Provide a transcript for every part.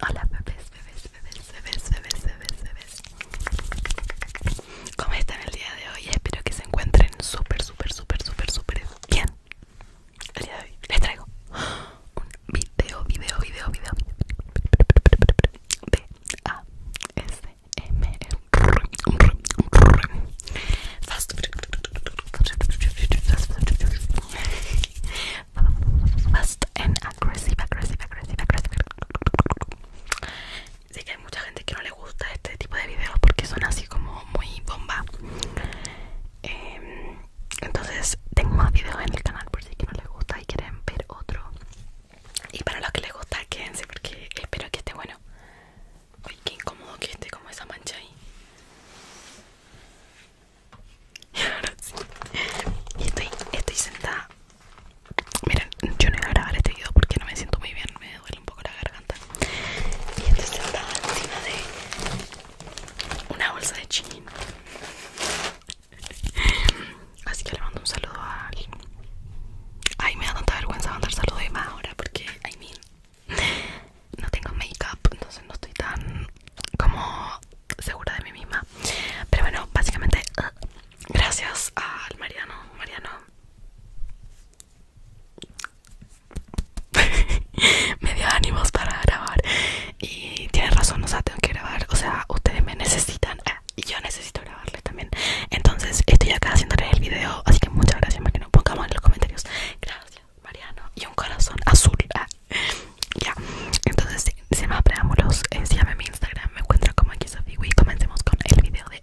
Hola bebés, bebés, bebés, bebés, bebés, bebés, bebés ¿Cómo están el día de hoy? Espero que se encuentren súper, súper, súper, súper, súper bien El día de hoy les traigo un video, video, video, video A, S, M, Fast fast and aggressive, aggressive, Sé que hay mucha gente que no le gusta este tipo de videos porque son así como muy bomba. Em, entonces tengo más videos en el canal por si que no les gusta y quieren ver otro. Y para los que les gusta quédense porque espero que esté bueno. Uy, qué incómodo que esté como esa mancha ahí. Y Ahora sí. Y estoy, sentada. Miren, yo no voy a grabar este video porque no me siento muy bien, me duele un poco la garganta. Y estoy sentada encima de una bolsa de chin. Así que le mando un saludo a alguien. Ay, me da tanta vergüenza mandar saludos de más ahora porque, I mean, no tengo make-up, entonces no estoy tan como segura de mí misma. Pero bueno, básicamente gracias al Mariano, Mariano. me dio ánimos para grabar y tiene razón, o sea, tengo que grabar, o sea, ustedes me necesitan eh, y yo necesito grabarles también. Entonces, estoy acá haciendo el video, así que muchas gracias, Mariano. pongamos en los comentarios. Gracias. Mariano y un corazón azul. ya, entonces, Si más preámbulos, los, síganme en mi Instagram, me encuentro como aquí Sophie y comencemos con el video de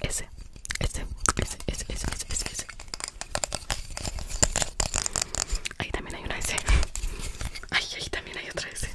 Ese, ese, ese, ese, ese, ese, Ahí también hay una S. Ay, ahí también hay otra ese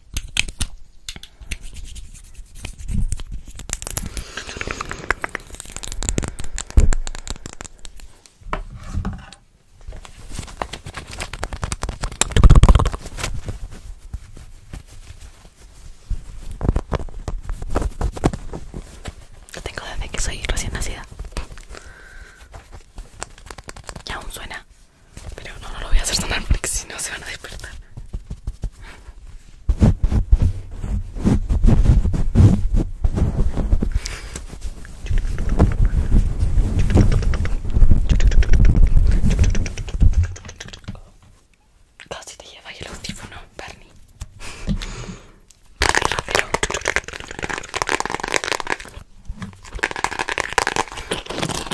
Lo tengo desde que soy recién nacida. Y aún suena pero no, no lo voy a hacer sonar porque si no se van a despertar. Casi te lleva el audífono, Bernie.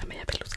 La media pelusa.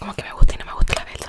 Como que me gusta y no me gusta la vez el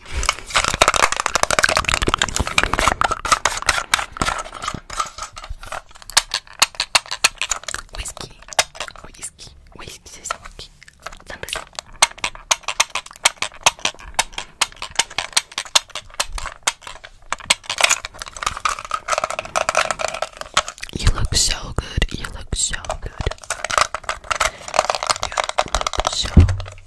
Whisky, whisky, whisky, c'est You look so good, you look so good. You look so good.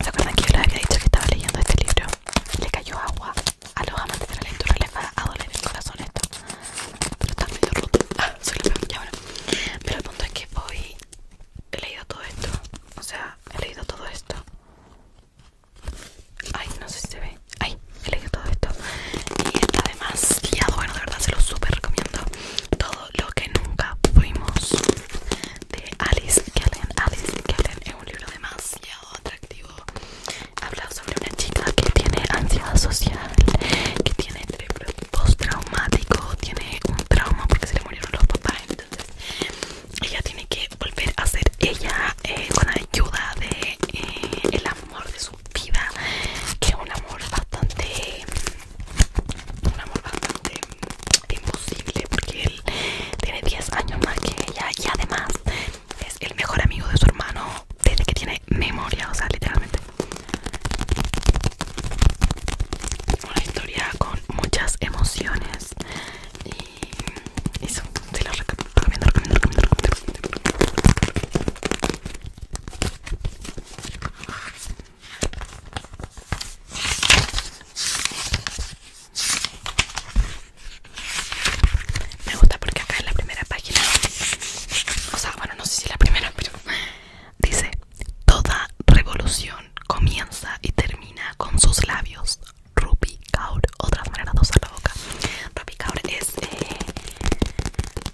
¿Se acuerdan que yo les había dicho que estaba leyendo este libro? Le cayó agua a los amantes de la lectura, les va a doler el corazón esto. Pero está medio roto. Ah, soy la peor, ya Pero el punto es que voy he leído todo esto. O sea, he leído todo esto. Ay, no sé si se ve. Ay, he leído todo esto. Y además, guiado, bueno, de verdad se lo súper recomiendo. Todo lo que nunca fuimos de Alice Kellen. Alice Kellen es un libro demasiado atractivo. Habla sobre una chica que tiene ansiedad social, que tiene postraumático, tiene un trauma porque se le murieron los papás, entonces ella tiene que volver a ser ella eh, con ayuda de eh, el amor de su vida, que es un amor bastante, un amor bastante imposible porque él tiene 10 años más que ella y además es el mejor amigo de su hermano desde que tiene memoria, o sea, literalmente. Una historia con muchas emociones y eso, se recomiendo, Me gusta porque acá en la primera página, o sea, bueno, no sé si la primera, pero Dice, toda revolución comienza y termina con sus labios. Rupi Kaur, otras manera de usar la boca. Rupi Kaur es eh,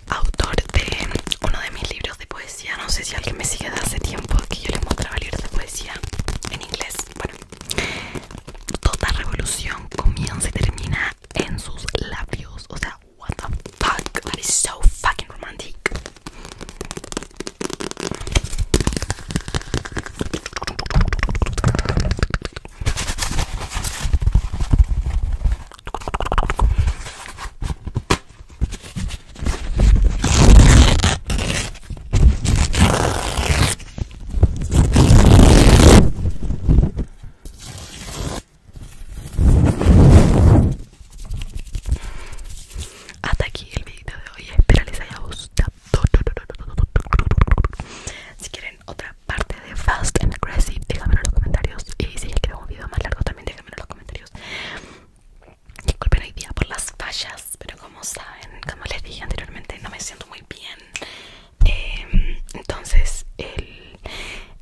autor de uno de mis libros de poesía. No sé si alguien me sigue de hace tiempo que yo le mostraba libros de poesía en inglés. Bueno, toda revolución comienza y termina en sus labios. O sea, What the fuck? That is so fucking romantic. Hasta aquí el vídeo de hoy. Espero les haya gustado. Si quieren otra parte de Fast and Aggressive, Déjenmelo en los comentarios. Y si quieren un video más largo, también déjenmelo en los comentarios. Disculpen hoy día por las fallas, pero como saben, como les dije anteriormente, no me siento muy bien. Em, entonces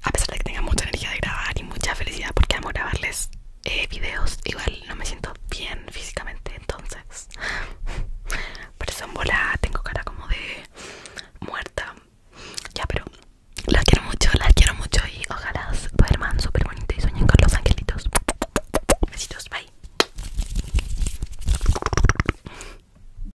a pesar de que tenga mucha energía de grabar y mucha felicidad porque amo grabarles eh, videos igual no me siento bien físicamente entonces por eso en bola tengo cara como de muerta ya pero las quiero mucho las quiero mucho y ojalá duerman súper bonito y sueñen con los angelitos besitos bye